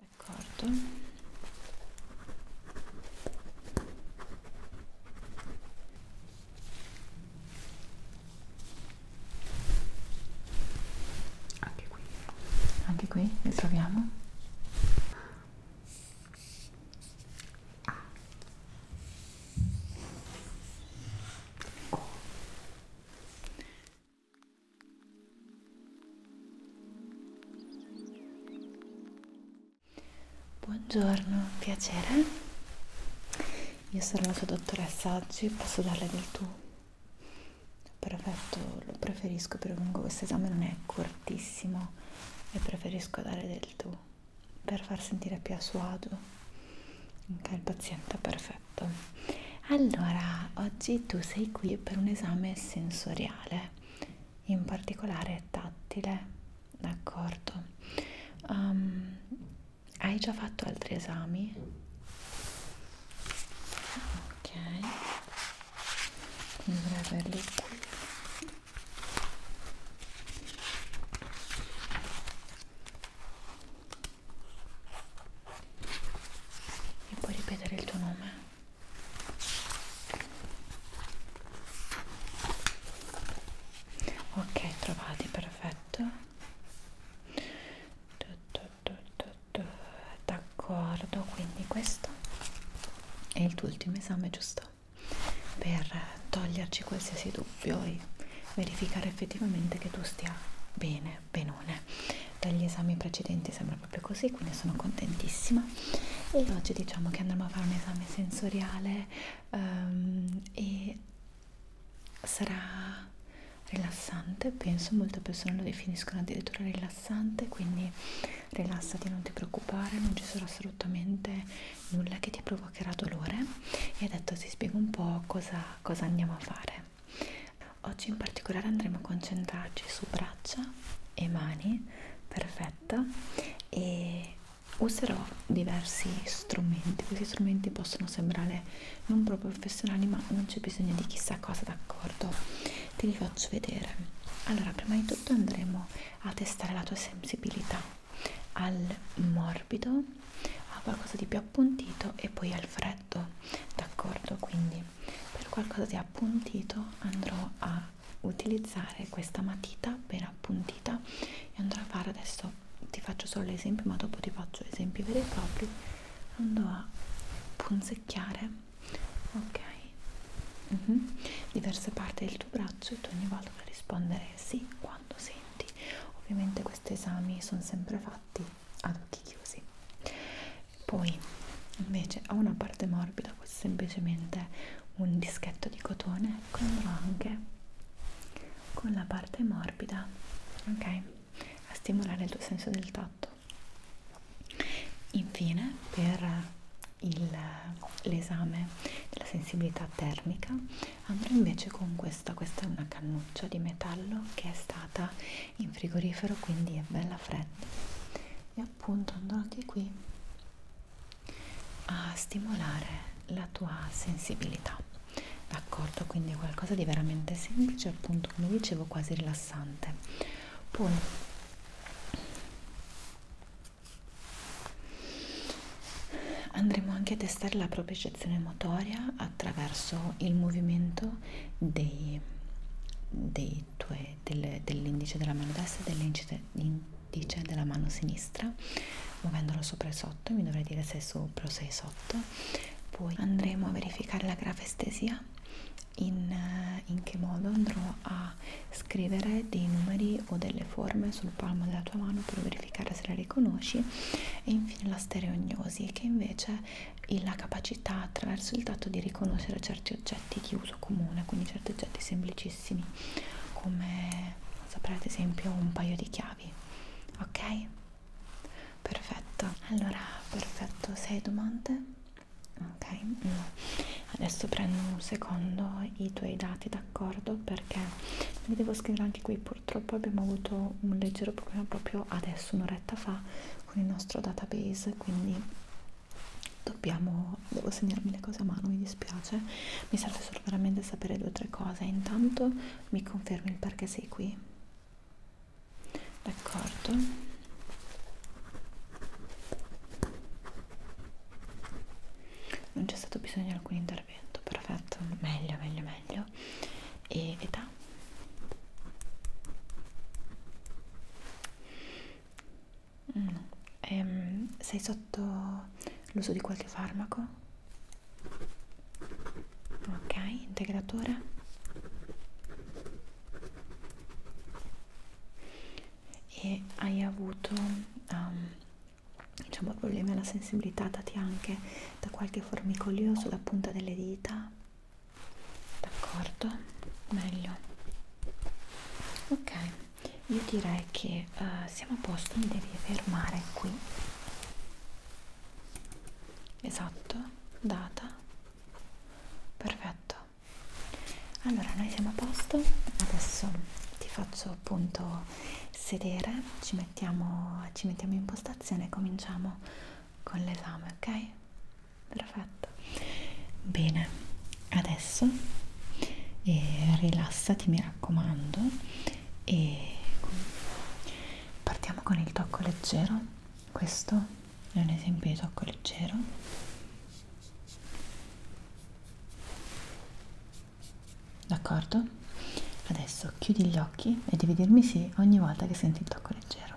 D'accordo. Anche qui. Anche qui li troviamo. A. O. Buongiorno, piacere. Io sono la sua dottoressa oggi, posso darle del tu? Perfetto, lo preferisco perché comunque questo esame non è cortissimo e preferisco dare del tu per far sentire più a suo agio. Ok, il paziente perfetto. Allora, oggi tu sei qui per un esame sensoriale materiale in particolare tattile d'accordo um, hai già fatto altri esami ok dovrei averli qui mi puoi ripetere il tuo nome ok trovati perfetto d'accordo quindi questo è il tuo ultimo esame giusto per toglierci qualsiasi dubbio e verificare effettivamente che tu stia bene bene Menone dagli esami precedenti sembra proprio così quindi sono contentissima e oggi diciamo che andremo a fare un esame sensoriale um, e sarà rilassante penso molte persone lo definiscono addirittura rilassante quindi rilassati non ti preoccupare non ci sarà assolutamente nulla che ti provocherà dolore e adesso ti spiego un po' cosa, cosa andiamo a fare oggi in particolare andremo a concentrarci su braccia e mani perfetto e userò diversi strumenti questi strumenti possono sembrare non proprio professionali ma non c'è bisogno di chissà cosa d'accordo te li faccio vedere allora prima di tutto andremo a testare la tua sensibilità al morbido a qualcosa di più appuntito e poi al freddo d'accordo quindi per qualcosa di appuntito andrò a utilizzare questa matita ben appuntita e andrò a fare adesso ti faccio solo l'esempio ma dopo ti faccio esempi veri e propri andrò a punzecchiare ok uh mhm. -huh. diverse parti del tuo braccio e tu ogni volta per rispondere sì quando senti ovviamente questi esami sono sempre fatti ad occhi chiusi poi invece ho una parte morbida questo è semplicemente un dischetto di cotone ecco andrò anche con la parte morbida ok a stimolare il tuo senso del tatto infine per l'esame della sensibilità termica andrò invece con questa questa è una cannuccia di metallo che è stata in frigorifero quindi è bella fredda e appunto andrò di qui a stimolare la tua sensibilità d'accordo quindi è qualcosa di veramente semplice appunto come dicevo quasi rilassante poi andremo anche a testare la propriocezione motoria attraverso il movimento dei, dei dell'indice del, dell della mano destra e dell'indice della mano sinistra muovendolo sopra e sotto mi dovrei dire se è sopra o se è sotto poi andremo a verificare la grafestesia in, eh, in che modo andrò a scrivere dei numeri o delle forme sul palmo della tua mano per verificare se la riconosci e infine la stereognosi che invece e la capacità attraverso il dato di riconoscere certi oggetti di uso comune, quindi certi oggetti semplicissimi come saprete ad esempio un paio di chiavi, ok? Perfetto, allora perfetto, sei domande? Ok, no. adesso prendo un secondo i tuoi dati, d'accordo? Perché li devo scrivere anche qui, purtroppo abbiamo avuto un leggero problema proprio adesso, un'oretta fa, con il nostro database, quindi dobbiamo devo segnarmi le cose a mano mi dispiace mi serve solo veramente sapere due o tre cose intanto mi confermi il perché sei qui d'accordo non c'è stato bisogno di alcun intervento perfetto meglio meglio meglio e età No. Ehm, sei sotto l'uso di qualche farmaco? Ok, integratore. E hai avuto um, diciamo problemi alla sensibilità dati anche da qualche formicolio sulla punta delle dita? d'accordo meglio ok io direi che uh, siamo a posto mi devi fermare qui esatto data perfetto allora noi siamo a posto adesso ti faccio appunto sedere ci mettiamo ci mettiamo in postazione e cominciamo con l'esame ok perfetto bene adesso eh, rilassati mi raccomando e partiamo con il tocco leggero questo è un esempio di tocco leggero d'accordo adesso chiudi gli occhi e devi dirmi sì ogni volta che senti il tocco leggero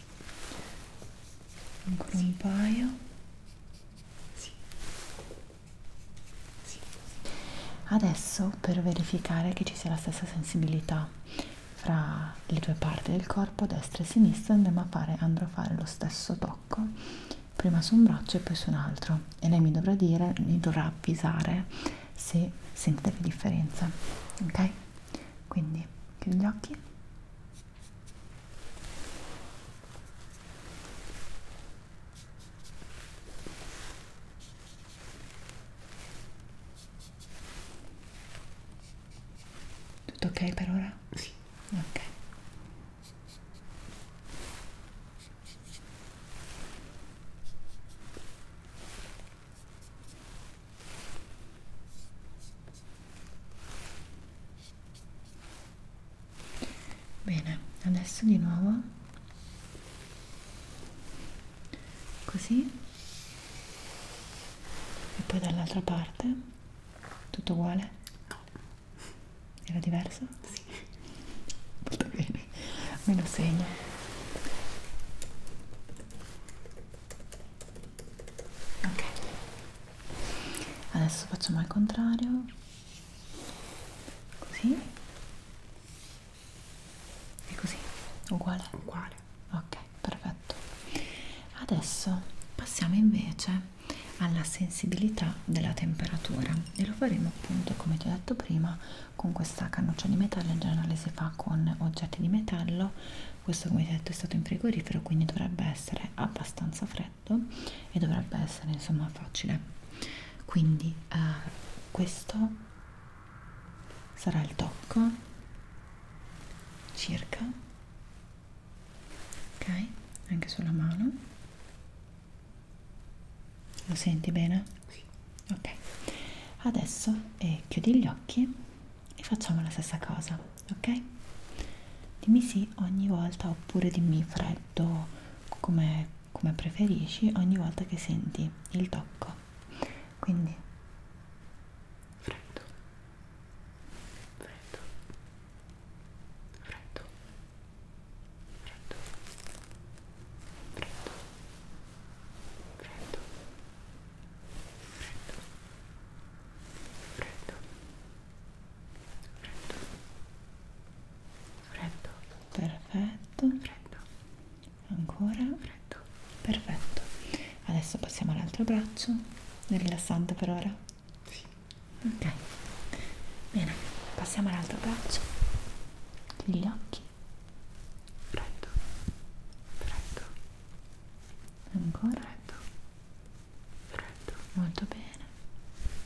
Sì. Ancora sì. un paio. Sì. Sì. Adesso per verificare che ci sia la stessa sensibilità fra le due parti del corpo, destra e sinistra, andremo a fare, andrò a fare lo stesso tocco, prima su un braccio e poi su un altro. E lei mi dovrà dire, mi dovrà avvisare se sente che differenza. Ok? quindi chiudi gli occhi tutto ok per ora? Sì. Ok bene adesso di nuovo così e poi dall'altra parte tutto uguale no era diverso sì molto bene me lo segno ok adesso facciamo al contrario così e così uguale uguale ok perfetto adesso passiamo invece alla sensibilità della temperatura e lo faremo appunto come ti ho detto prima con questa cannuccia di metallo in generale si fa con oggetti di metallo questo come detto è stato in frigorifero quindi dovrebbe essere abbastanza freddo e dovrebbe essere insomma facile quindi eh, questo sarà il tocco circa ok anche sulla mano lo senti bene? Sì. ok adesso eh, chiudi gli occhi e facciamo la stessa cosa, ok? Dimmi sì ogni volta oppure dimmi freddo come, come preferisci ogni volta che senti il tocco. Quindi freddo, freddo, freddo, freddo, freddo, freddo, freddo freddo freddo freddo freddo perfetto freddo ancora freddo perfetto adesso passiamo all'altro braccio è rilassante per ora sì. ok bene passiamo all'altro braccio chiudi gli occhi freddo freddo ancora freddo freddo molto bene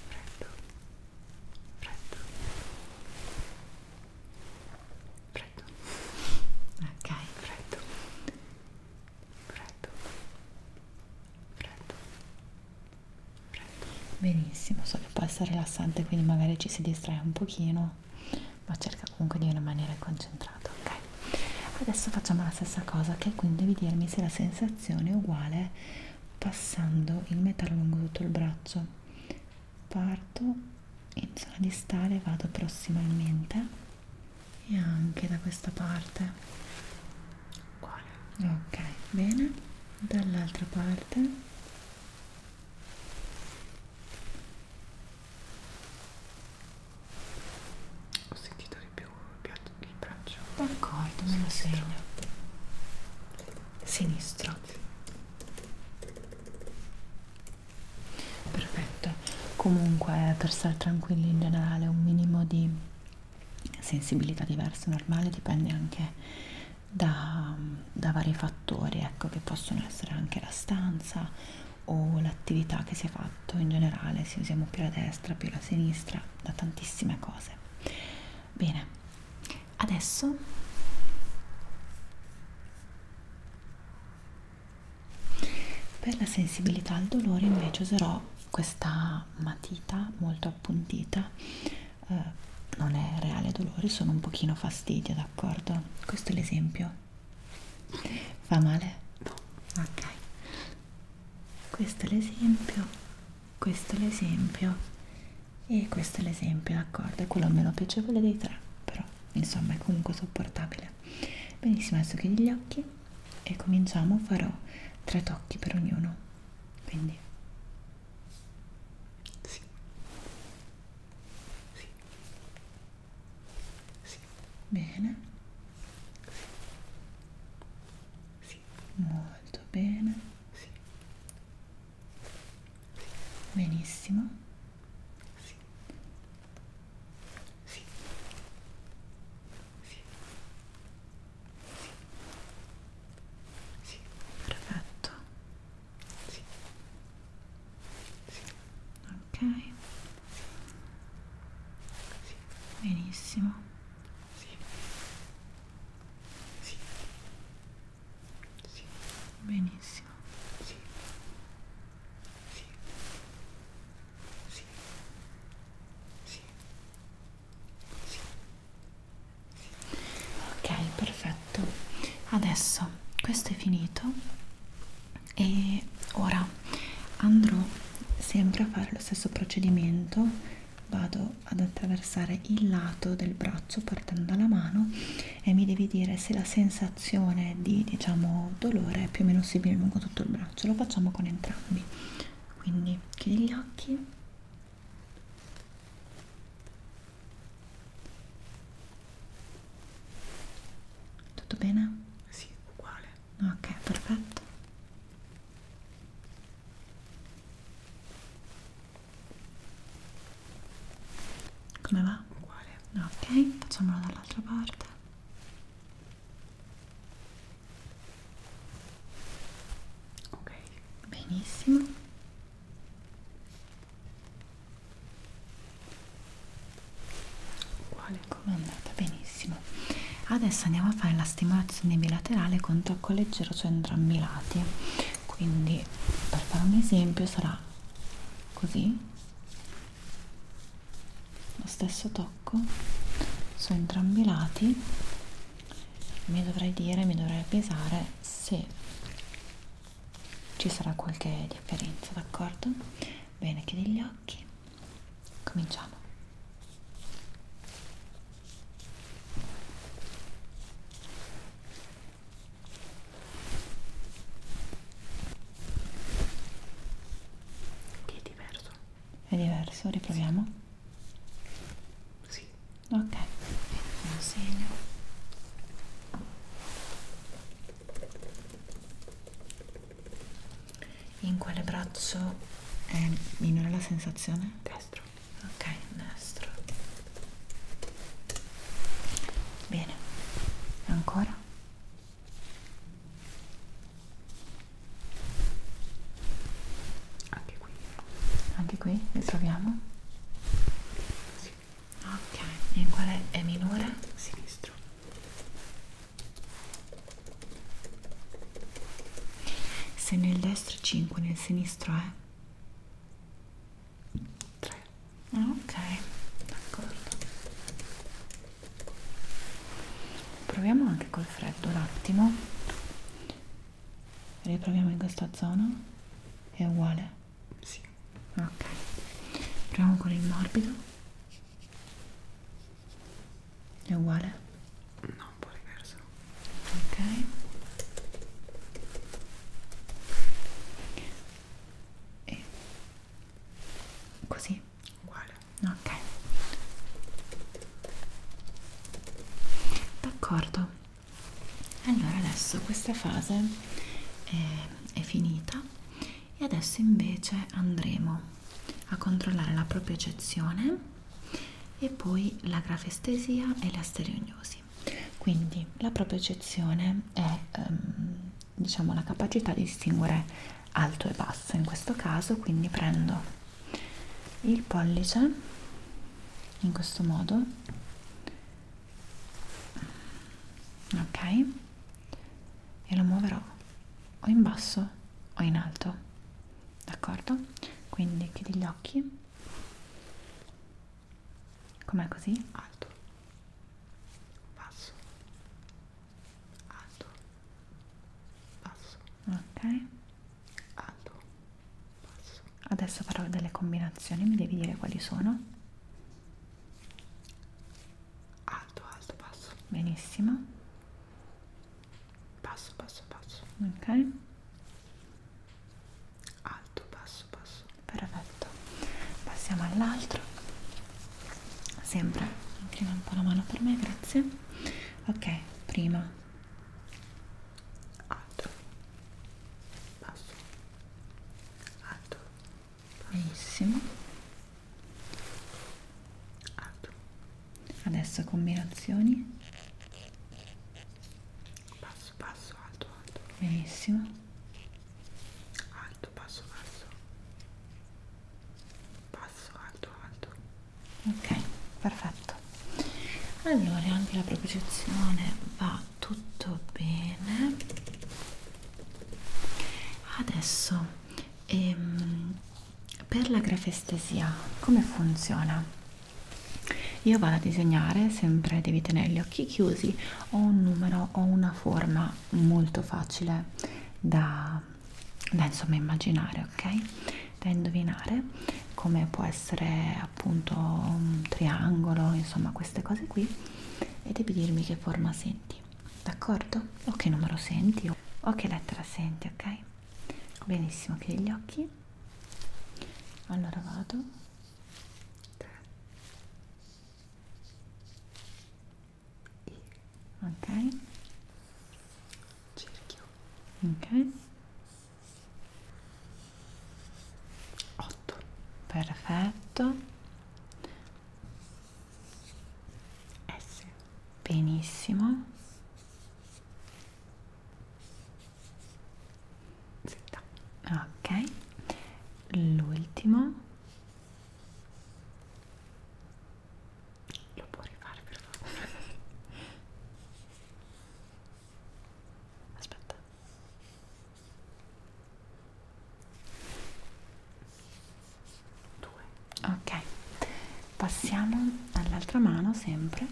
freddo freddo freddo ok freddo freddo freddo freddo benissimo so che può essere rilassante quindi magari ci si distrae un pochino ma cerca comunque di rimanere concentrato ok adesso facciamo la stessa cosa che quindi devi dirmi se la sensazione è uguale passando il metallo lungo tutto il braccio parto in zona distale vado prossimamente e anche da questa parte uguale ok bene dall'altra parte ho sentito di più il braccio. D'accordo, me lo segno. Sinistro. Perfetto. Comunque, per stare tranquilli in generale, un minimo di sensibilità diversa normale dipende anche da, da vari fattori, ecco, che possono essere anche la stanza o l'attività che si è fatto in generale, se usiamo più la destra, più la sinistra, da tantissime cose. Bene, adesso per la sensibilità al dolore invece userò questa matita molto appuntita, eh, non è reale dolore, sono un pochino fastidio, d'accordo? Questo è l'esempio Fa male? No. Ok. Questo è l'esempio, questo è l'esempio e questo è l'esempio, d'accordo? È quello meno piacevole dei tre, però insomma è comunque sopportabile. Benissimo, adesso chiudi gli occhi e cominciamo. Farò tre tocchi per ognuno. Quindi. Sì. Sì sì, bene sì, sì. molto bene sì. benissimo sì. Sì. Sì. Sì. Sì. perfetto sì sì. ok sì. benissimo sì. Sì. Sì. benissimo sì. Sì. Sì. Sì. Sì. Sì. ok perfetto adesso questo è finito e ora andrò sempre a fare lo stesso procedimento vado ad attraversare il lato del braccio partendo dalla mano e mi devi dire se la sensazione di diciamo dolore è più o meno simile lungo tutto il braccio lo facciamo con entrambi quindi chiudi gli occhi tutto bene? Sì, uguale. Ok, perfetto. Come va? Uguale. Ok, facciamolo dall'altra parte. Ok, benissimo uguale come è andata benissimo adesso andiamo a fare la stimolazione bilaterale con tocco leggero su cioè entrambi i lati quindi per fare un esempio sarà così lo stesso tocco su entrambi i lati mi dovrei dire mi dovrei pesare se ci sarà qualche differenza d'accordo Bene, chiudi gli occhi. Cominciamo. Che è diverso. È diverso, riproviamo. Sì. Ok, un segno in quale braccio è minore la sensazione? destro ok, destro bene, ancora anche qui anche qui le troviamo? Sì. ok, in quale è minore? sinistro se nel destro 5 nel sinistro è eh? Ah, 3 ok d'accordo proviamo anche col freddo un attimo riproviamo in questa zona è uguale sì ok proviamo con il morbido è uguale? no un po' diverso ok e così? uguale ok d'accordo allora adesso questa fase è, è finita e adesso invece andremo a controllare la propiocezione e poi la grafestesia e la stereognosi quindi la propiocezione è ehm, diciamo la capacità di distinguere alto e basso in questo caso quindi prendo il pollice in questo modo ok e lo muoverò o in basso o in alto d'accordo? quindi chiudi gli occhi com'è così? alto basso alto basso ok alto basso adesso farò delle combinazioni mi devi dire quali sono alto, alto, basso. Benissimo. Basso, basso, basso. Ok. Alto, basso, basso. Perfetto. Passiamo all'altro. Sempre. Prima un po' la mano per me, grazie. Ok, prima. Alto. Basso. Alto benissimo alto adesso combinazioni passo passo alto alto benissimo alto passo passo passo alto alto ok perfetto allora anche la propriocezione va tutto bene Adesso ehm, per la grafestesia come funziona? Io vado a disegnare, sempre devi tenere gli occhi chiusi, ho un numero, ho una forma molto facile da, da insomma immaginare, ok? Da indovinare come può essere appunto un triangolo, insomma queste cose qui e devi dirmi che forma senti d'accordo? o che numero senti o che lettera senti, ok? benissimo, chiudi gli occhi allora vado 3 I ok cerchio ok 8 perfetto S benissimo 70. ok l'ultimo lo può rifare per favore aspetta 2 ok passiamo all'altra mano sempre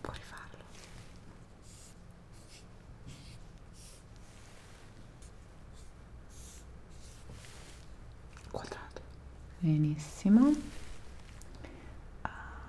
puoi rifarlo quadrato benissimo ah.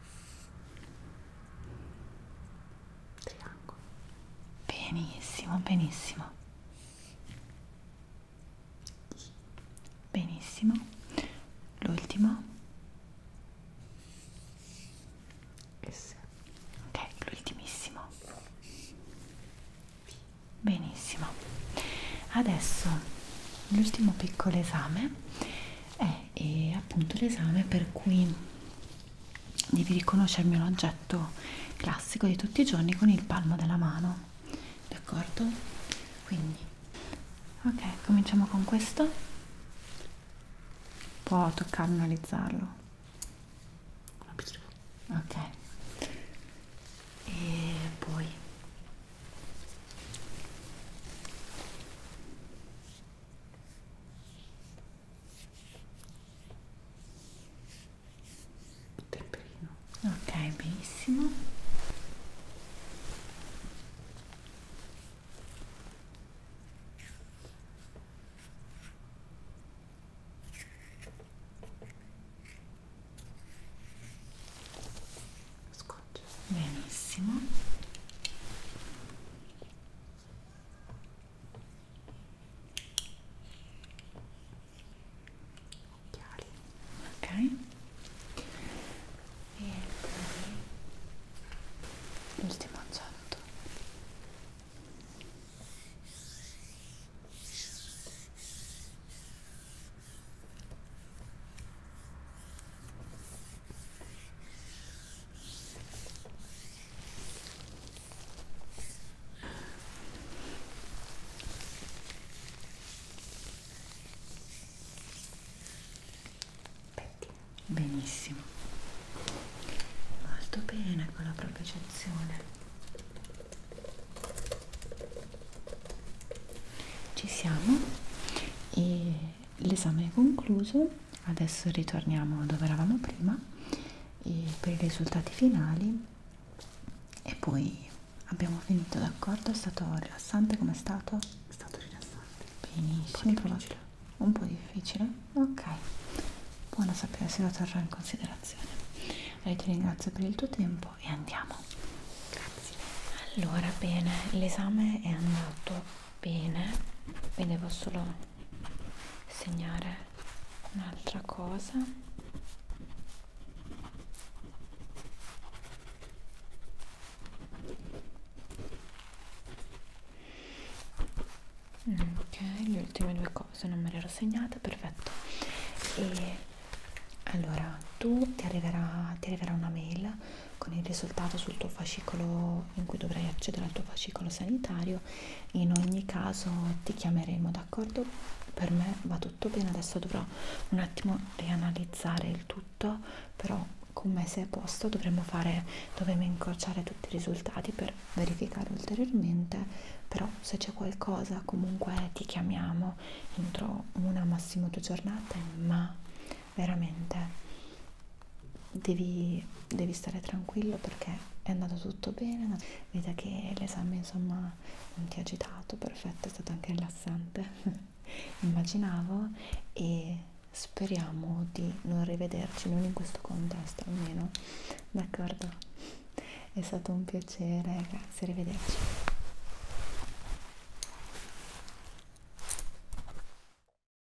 triangolo benissimo benissimo benissimo l'ultimo S ok l'ultimissimo benissimo adesso l'ultimo piccolo esame è e appunto l'esame per cui devi riconoscermi un oggetto classico di tutti i giorni con il palmo della mano d'accordo? quindi ok cominciamo con questo può toccarlo analizzarlo ok e poi Peperino. Ok, benissimo. Scotch. Benissimo occhiali ok e poi l'ultimo oggetto ok Benissimo, molto bene con la propriocezione. Ci siamo e l'esame è concluso, adesso ritorniamo dove eravamo prima per i risultati finali e poi abbiamo finito d'accordo, è stato rilassante come è stato? È stato rilassante. Benissimo. Un po, un po' difficile? Ok. Buona sapere se la terrò in considerazione. Allora, ti ringrazio per il tuo tempo e andiamo. Grazie. Allora, bene, l'esame è andato bene, vedevo solo segnare un'altra cosa ok le ultime due cose non me le ero segnate perfetto e allora tu ti arriverà, ti arriverà una mail con il risultato sul tuo fascicolo in cui dovrai accedere al tuo fascicolo sanitario in ogni caso ti chiameremo d'accordo per me va tutto bene adesso dovrò un attimo rianalizzare il tutto però con me se è a posto dovremmo fare dovremmo incrociare tutti i risultati per verificare ulteriormente però se c'è qualcosa comunque ti chiamiamo entro una massimo due giornate ma veramente devi, devi stare tranquillo perché è andato tutto bene, vedi che l'esame insomma non ti ha agitato, perfetto, è stato anche rilassante, immaginavo, e speriamo di non rivederci, non in questo contesto almeno, d'accordo? È stato un piacere, grazie, arrivederci.